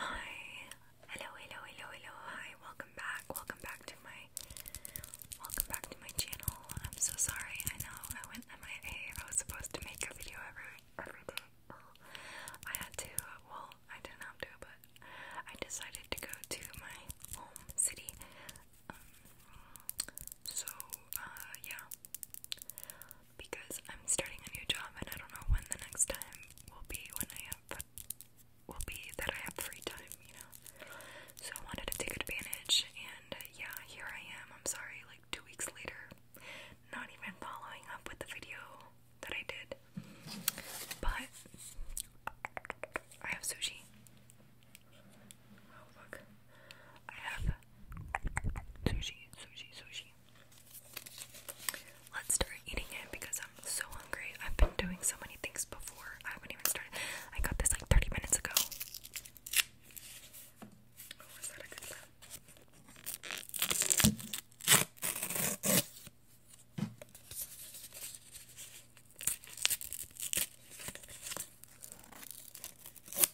Hi. Hello, hello, hello, hello. Hi. Welcome back. Welcome back to my welcome back to my channel. I'm so sorry. I know I went MIA. I was supposed to make a video every every day. Oh, I had to well, I didn't have to, but I decided to go to my home city. Um, so, uh, yeah because I'm starting a new job and I don't know when the next time will be when I have will be that I have free time, you know. So I wanted to take advantage and uh, yeah, here I am. I'm sorry like 2 weeks later not even following up with the video that I did. But I have sushi. Oh fuck. I have sushi, sushi, sushi, Let's start eating it because I'm so hungry. I've been doing so many things before. I haven't even started. I got this like 30 minutes ago. Oh, that a good sound?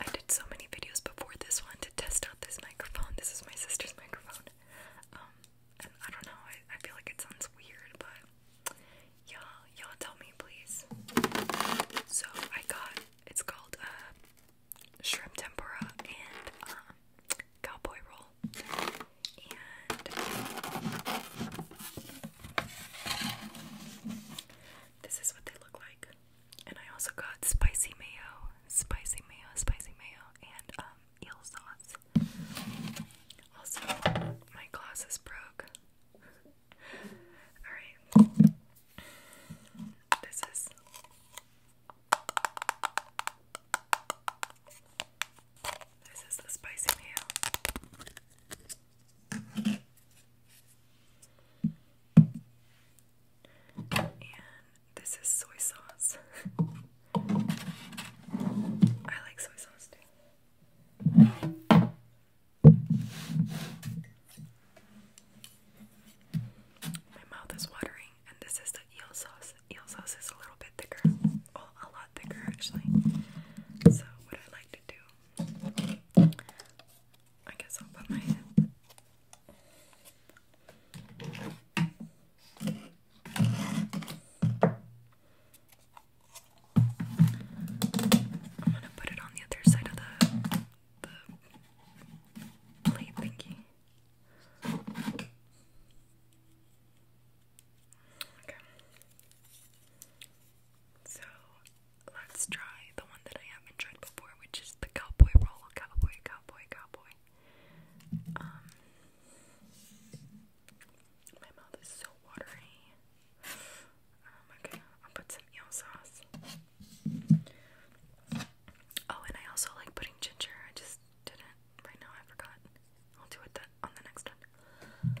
I did so many videos before this one to test out this microphone. This is my sister's microphone. Um, I don't know, I, I feel like it sounds weird, but y'all, y'all tell me please. So I got, it's called, uh, shrimp tempura and, um, cowboy roll. And this is what they look like. And I also got spicy mayo, spicy mayo, spicy mayo, and um, eel sauce. Also, my glasses broke. Alright. This is. This is the spicy mayo. And this is soy sauce. I like soy sauce too. My mouth is watering, and this is the eel sauce. Eel sauce is a little bit thicker, well, a lot thicker actually. So, what I like to do I guess I'll put my head. I'm gonna put it on the other side of the the plate thingy. Okay. So let's try the one that I haven't tried before, which is the cowboy roll. Cowboy, cowboy, cowboy. Um, my mouth is so watery. Um, okay, I'll put some eel sauce. Oh, and I also like putting ginger. I just didn't right now. I forgot. I'll do it that on the next one.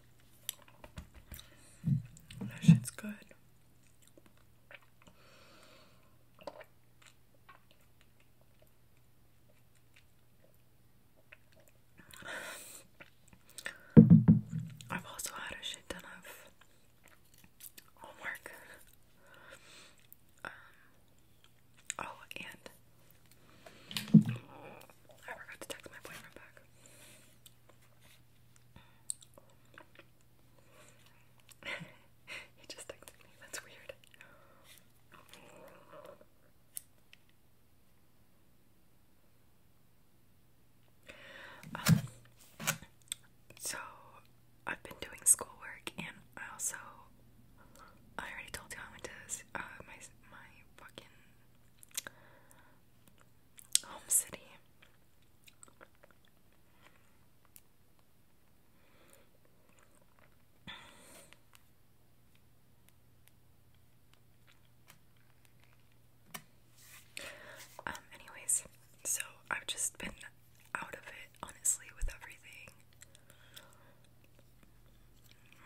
That oh, shit's good. I've also had a shit ton of homework. Um, oh, and I forgot to text my boyfriend back. he just texted me. That's weird. Um, so I've been doing schoolwork, and I also I already told you I went to uh, my my fucking Home City. Um, anyways, so I've just been out of it, honestly, with everything.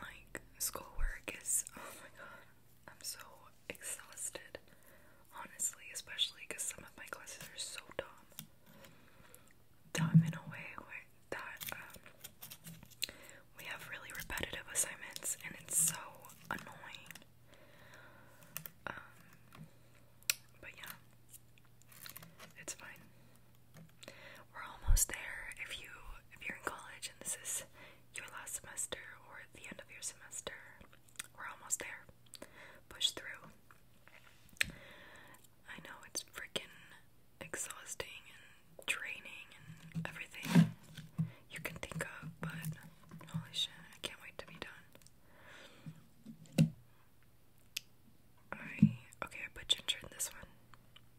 Like, schoolwork is, oh my god, I'm so exhausted. Honestly, especially because some of my classes are so dumb. Dumb in a way that um, we have really repetitive assignments and it's so annoying. Um, but yeah, it's fine. We're almost there. If you if you're in college and this is your last semester or the end of your semester, we're almost there. Push through. I know it's freaking exhausting and draining and everything you can think of, but holy shit, I can't wait to be done. I okay, I put ginger in this one.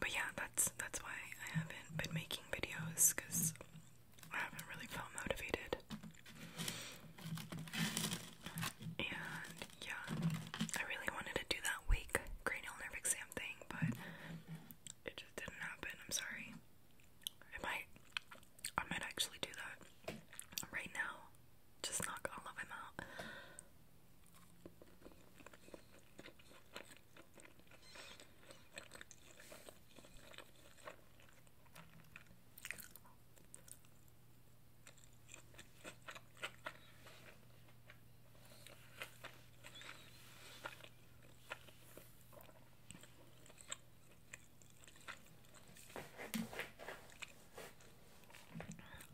but yeah, that's that's why I haven't been making videos because I haven't really felt motivated. And yeah, I really wanted to do that week cranial nerve exam thing, but it just didn't happen. I'm sorry. I might, I might actually do that right now. Just knock all of them out.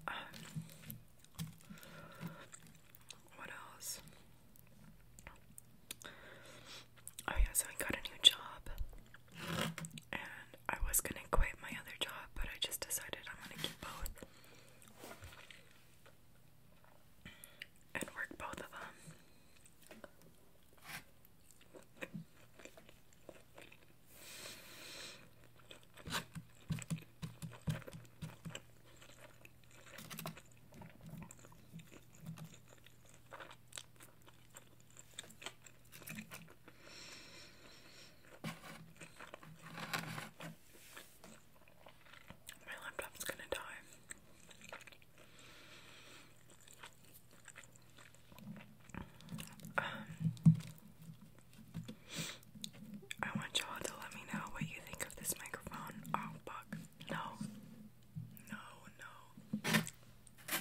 Um, what else? Oh, yeah, so I got a new job and I was gonna quit my other job, but I just decided I'm gonna keep both and work both of them. My laptop's gonna die. Um, I want y'all to let me know what you think of this microphone. Oh, fuck. No. No, no.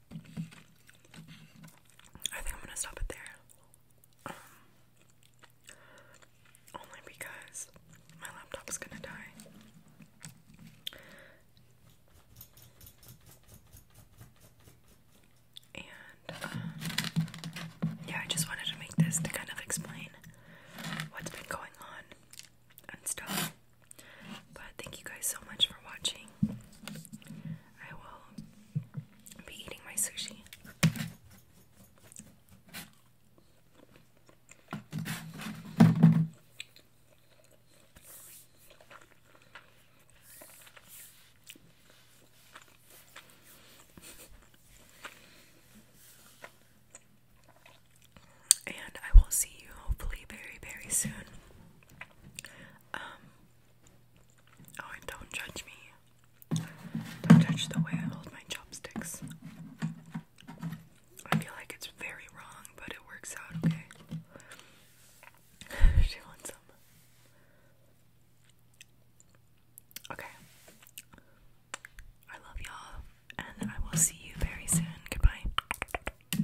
I think I'm gonna stop it there. Um, only because my laptop's gonna die. And, uh, yeah, I just wanted to make this to kind of explain what's been going on and stuff. But thank you guys so much for watching. I will be eating my sushi. And I will see you hopefully very, very soon. Um, oh, and don't judge me. Don't judge the way I hold my chopsticks. I feel like it's very wrong, but it works out okay. she wants some. Okay. I love y'all, and I will see you very soon. Goodbye.